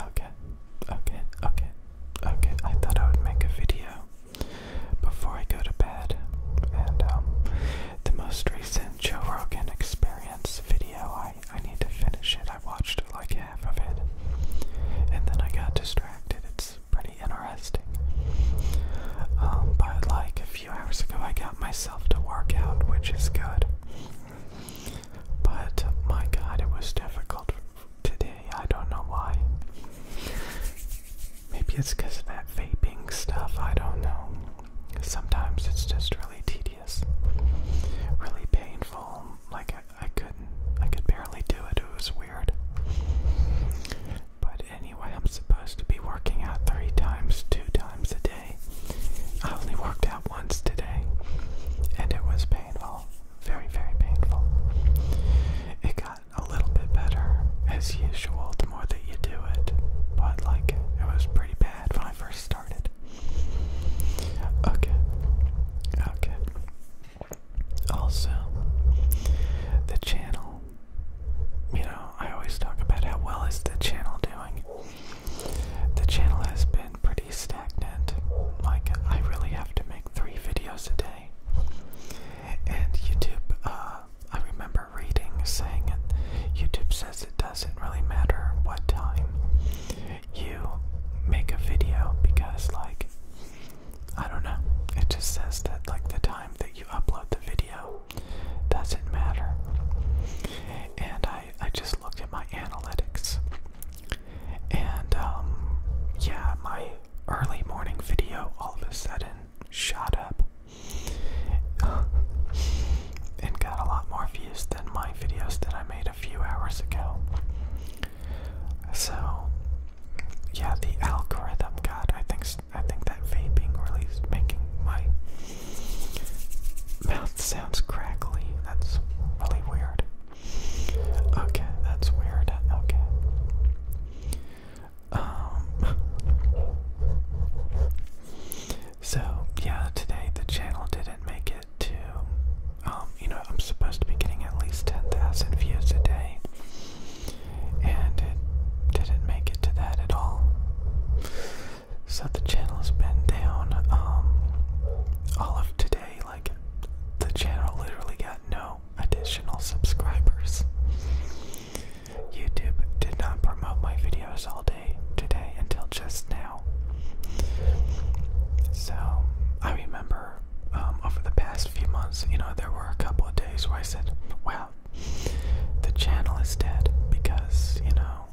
Okay, okay, okay, okay. I thought I would make a video before I go to bed. And um, the most recent Joe Rogan Experience video, I, I need to finish it. I watched like half of it. And then I got distracted. It's pretty interesting. Um, but like a few hours ago, I got myself to work out, which is good. But my god, it was difficult today. I don't know why. Maybe it's because of that vaping stuff. I don't know. Sometimes it's just really tedious, really painful. Like, I, I couldn't, I could barely do it. It was weird. But anyway, I'm supposed to be working out three times, two times a day. I only worked out once today, and it was painful. Very, very painful. It got a little bit better as usual the more that you do it, but like it was pretty bad when I first started. Okay, okay. Also, the channel. You know, I always talk about how well is the channel doing. The channel has been pretty stagnant. Like, I really have to make three videos a day. And YouTube, uh, I remember reading saying YouTube says it doesn't really matter what time you make a video because, like, I don't know. It just says that, like, the time that you upload the video doesn't matter. And I I, just looked at my analytics. And um, yeah, my early morning video all of a sudden shot up and got a lot more views than my videos that I made a few hours ago. So yeah, the algorithm got I think I think that vaping really is making my Mouth sounds crackly. That's really weird. Okay, that's weird. Okay. Um. So yeah, today the channel didn't make it to. Um, you know, I'm supposed to be getting at least ten thousand views a day, and it didn't make it to that at all. So the channel has been down um, all of today. Like the channel literally got no additional subscribers. YouTube did not promote my videos all day today until just now. So I remember um, over the past few months, you know, there were a couple of days where I said, wow, the channel is dead because, you know,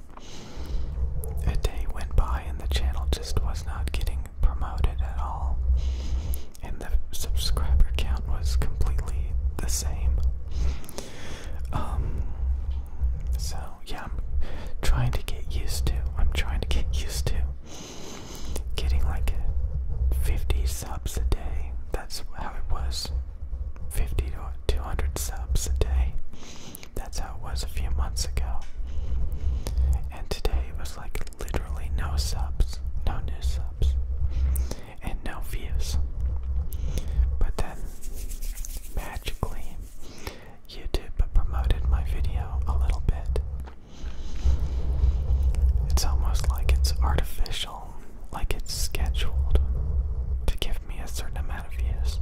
a day went by and the channel just was not getting promoted at all, and the subscriber count was completely the same. Um, so yeah, I'm trying to get used to. I'm trying to get used to getting like 50 subs a day. That's how it was 50 to 200 subs a day. That's how it was a few months ago. And today it was like literally no subs, no new subs, and no views. But then, magically, YouTube promoted my video a little bit. It's almost like it's artificial like it's scheduled to give me a certain amount of views.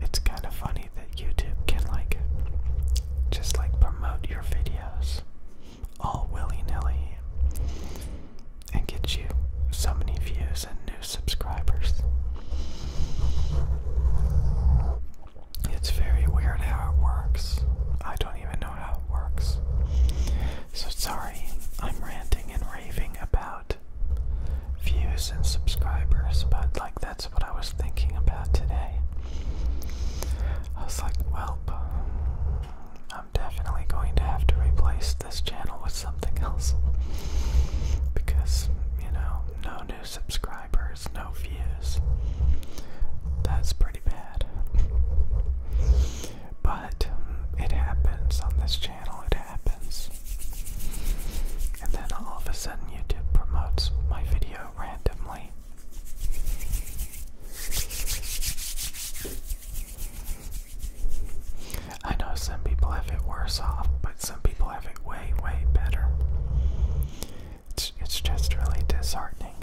It's kind of funny that YouTube can like just like promote your videos all willy-nilly and get you so many views and new subscribers. It's very weird how it works. I don't even know how it works. So sorry, I'm ranting and raving about views and subscribers, but like that's what I was thinking about today. I was like, well, I'm definitely going to have to replace this channel with something else because, you know, no new subscribers, no views. That's pretty bad. But but it happens on this channel, it happens. And then all of a sudden, YouTube promotes my video randomly. I know some people have it worse off, but some people have it way, way better. It's, it's just really disheartening.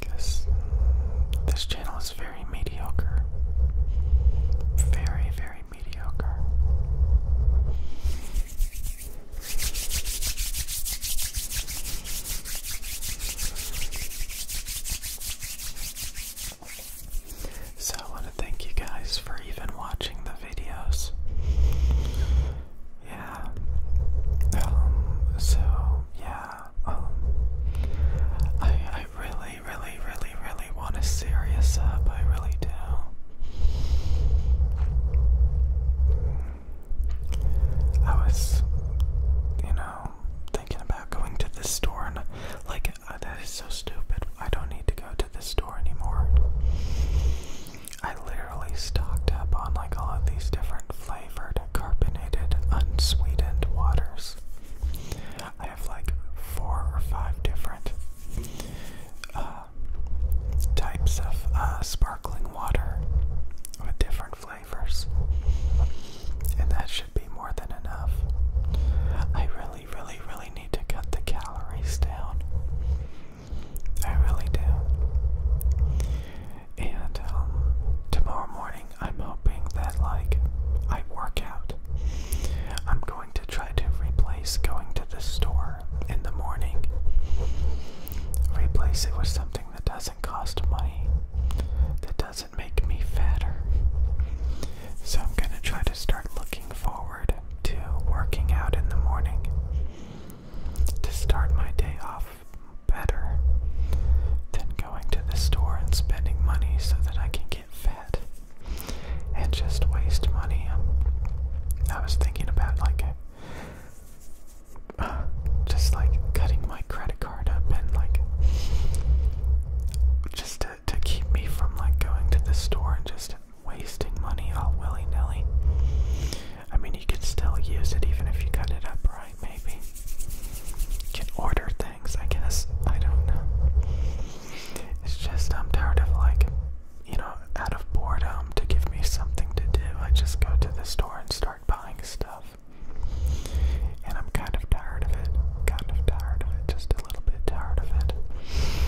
Because uh, this channel is very mediocre. Very, very mediocre. So I want to thank you guys for even watching the videos yeah. Um, so yeah, um, I I really, really, really, really want to serious up. I really do. I was, you know, thinking about going to the store and like uh, that is so stupid. I don't need to go to the store anymore. I literally stocked up on like all of these different flavored carbonated unsweetened waters. I have like four or five different uh, types of uh, sparkling water with different flavors, and that should be more than enough. I really, really, really need to cut the calories down. I really do. And um, tomorrow morning, I'm hoping that, like, I work out. I'm going to try to replace going to the store in the morning, replace it with something that doesn't cost money, that doesn't make me fatter. So I'm going to try to start looking forward to working out in the morning to start my day off better than going to the store and spending money so that I can get fat and just waste money. I was thinking about like uh, just like cutting my credit card up and like just to, to keep me from like going to the store and just wasting money all willy nilly. I mean, you can still use it even if you cut it up right, maybe. You can order things, I guess. I don't know. It's just I'm tired of, like, you know, out of boredom to give me something to do. I just go to the store and start buying stuff. And I'm kind of tired of it. Kind of tired of it. Just a little bit tired of it.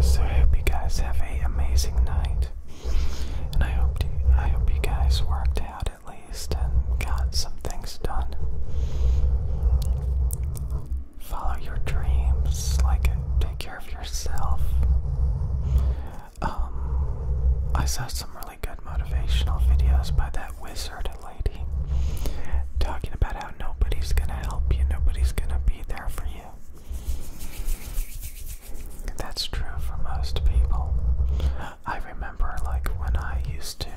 So I hope you guys have a amazing night, and I hope I hope you guys worked out at least and got some things done. Follow your dreams, like take care of yourself. Um, I saw some really good motivational videos by that wizard lady talking about how nobody's gonna help you, nobody's gonna be there for you. That's true for most people. I remember, like, when I used to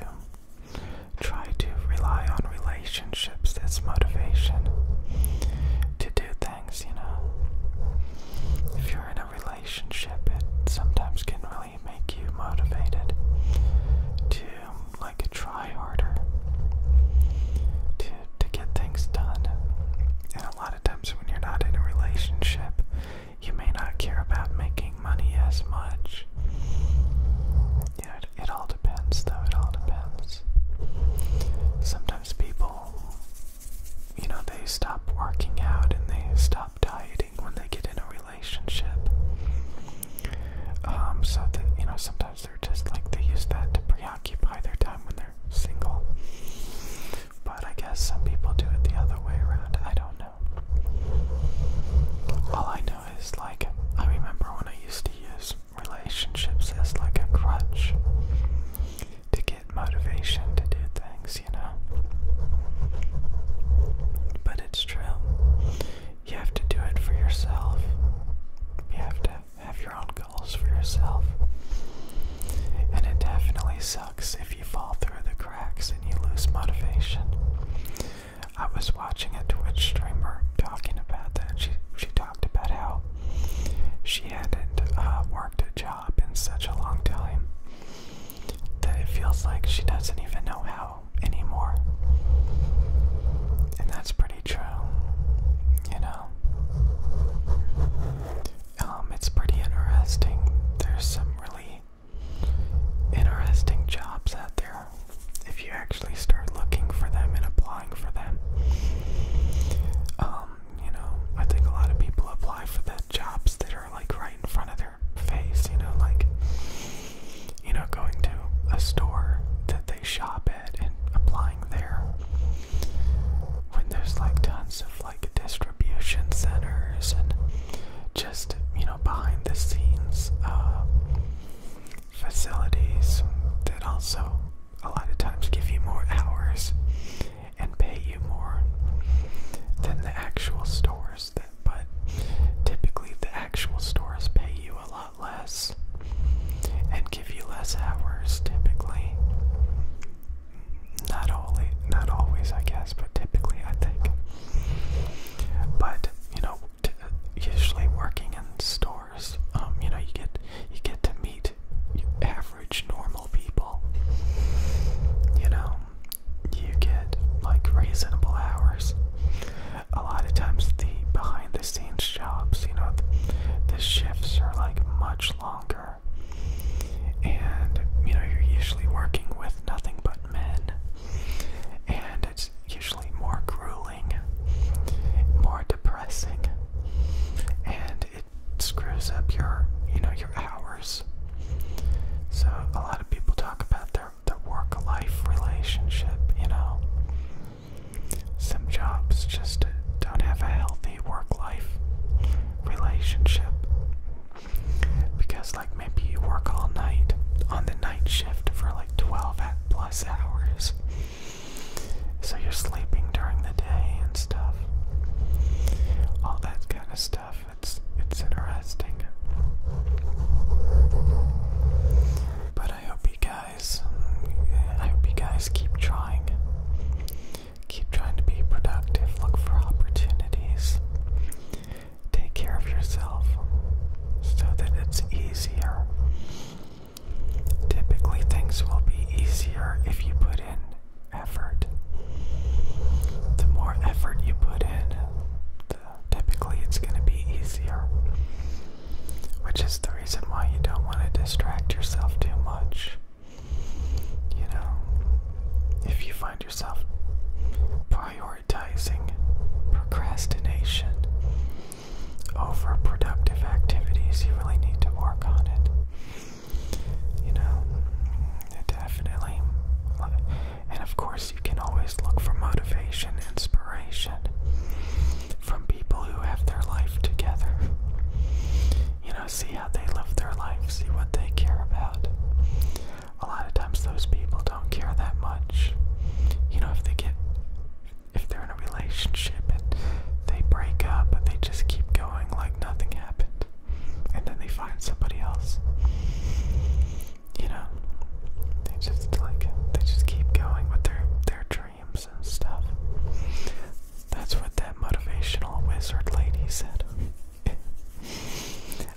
try to rely on relationships as motivation to do things, you know. If you're in a relationship, it sometimes can really make you motivated to I could try harder to to get things done. And a lot of times when you're not in a relationship, you may not care about making money as much. You it, it all depends, though. It all depends. Sometimes people, you know, they stop working out and they stop dieting when they get in a relationship. Um, so that you know, sometimes they're just like they use that to preoccupy their time when they're single. But I guess some people do it the other way around. I don't know. All I know is like I remember when I used to use relationships as like a crutch to get motivation to do things, you know. But it's true. You have to do it for yourself. You have to have your own goals for yourself. And it definitely sucks if you fall through the cracks and you lose motivation. I was watching a Twitch streamer talking about that. She she talked about how she hadn't uh, worked a job in such a long time that it feels like she doesn't even know how anymore. And that's pretty true, you know. Um, it's pretty interesting. There's some really interesting jobs out there if you actually start looking for them and applying for them. Um, you know, I think a lot of people apply for the jobs that are like right in front of their face, you know, like you know, going to a store that they shop at and applying there when there's like tons of like distribution centers and just you know behind the scenes uh, facilities that also a lot of times give you more hours and pay you more than the actual stores it, but typically the actual stores pay you a lot less and give you less hours typically. Not only not always I guess, but typically I think. But you know, t usually working in stores, um, you know, you get you get to meet average normal people. You know, you get like reasonable hours. A lot of times, the behind the scenes jobs, you know, the, shifts are like much longer, and you know, you're usually working with nothing but men, and it's usually more grueling, more depressing, and it screws up your, you know, your hours. So a lot of people talk about their the work life relationship, you know. Some jobs just don't have a healthy work life relationship. Because, like, maybe you work all night on the night shift for like 12 at plus hours. So you're sleeping during the day and stuff. All that kind of stuff. It's it's interesting. But I hope you guys I hope you guys keep trying. Keep trying to be productive. Look for opportunities. Take care of yourself so that it's easier. Typically, things will be easier if you put in effort. The more effort you put in, typically it's going to be easier, which is the reason why you don't want to distract yourself too much. You know, if you find yourself prioritizing procrastination over productive activities, you really need to work on it. You know, definitely and of course, you can always look for motivation, inspiration from people who have their life together. You know, see how they live their life, see what they care about. A lot of times, those people don't care that much. You know, if they get, if they're in a relationship and they break up, but they just keep going like nothing happened and then they find somebody else. You know, they just like they just keep going with their their dreams and stuff. That's what that motivational wizard lady said.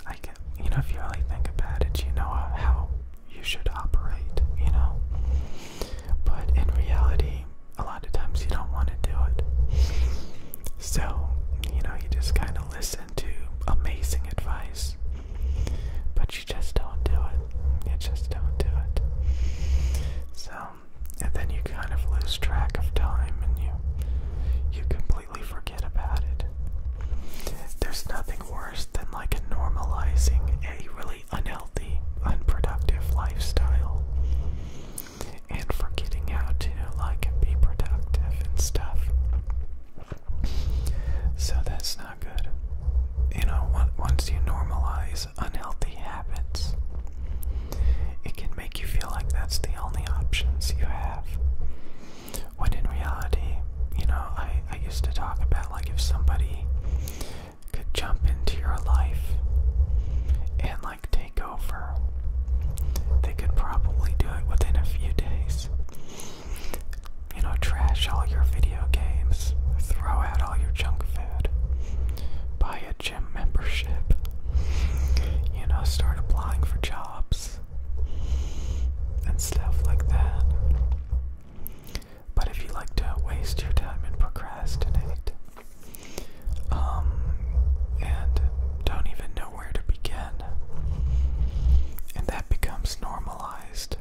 I get, you know, if you really think about it, you know uh, how you should operate, you know. But in reality, a lot of times you don't want to do it. So, you know, you just kind of listen to amazing advice, but you just don't do it. You just don't do it. So, and then you kind of lose track of time and you you completely forget about it. There's nothing worse than like normalizing a really unhealthy, unproductive lifestyle and forgetting how to like be productive and stuff. So that's not good. You know, once you normalize unhealthy habits, it can make you feel like that's the only options you have. When in reality, you know, I, I used to talk about like if somebody could jump into your life and like take over. They could probably do it within a few days. You know, trash all your video games, throw out all your junk food, buy a gym membership, you know, start applying for jobs and stuff like that. But if you like to waste your time and procrastinate, um, and don't even know where to begin. And that becomes normalized.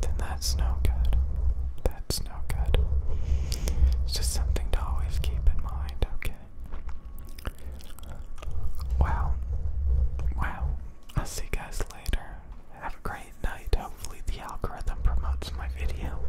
Then that's no good. That's no good. just something to always keep in mind, okay? Wow. Wow. I'll see you guys later. Have a great night. Hopefully, the algorithm promotes my video.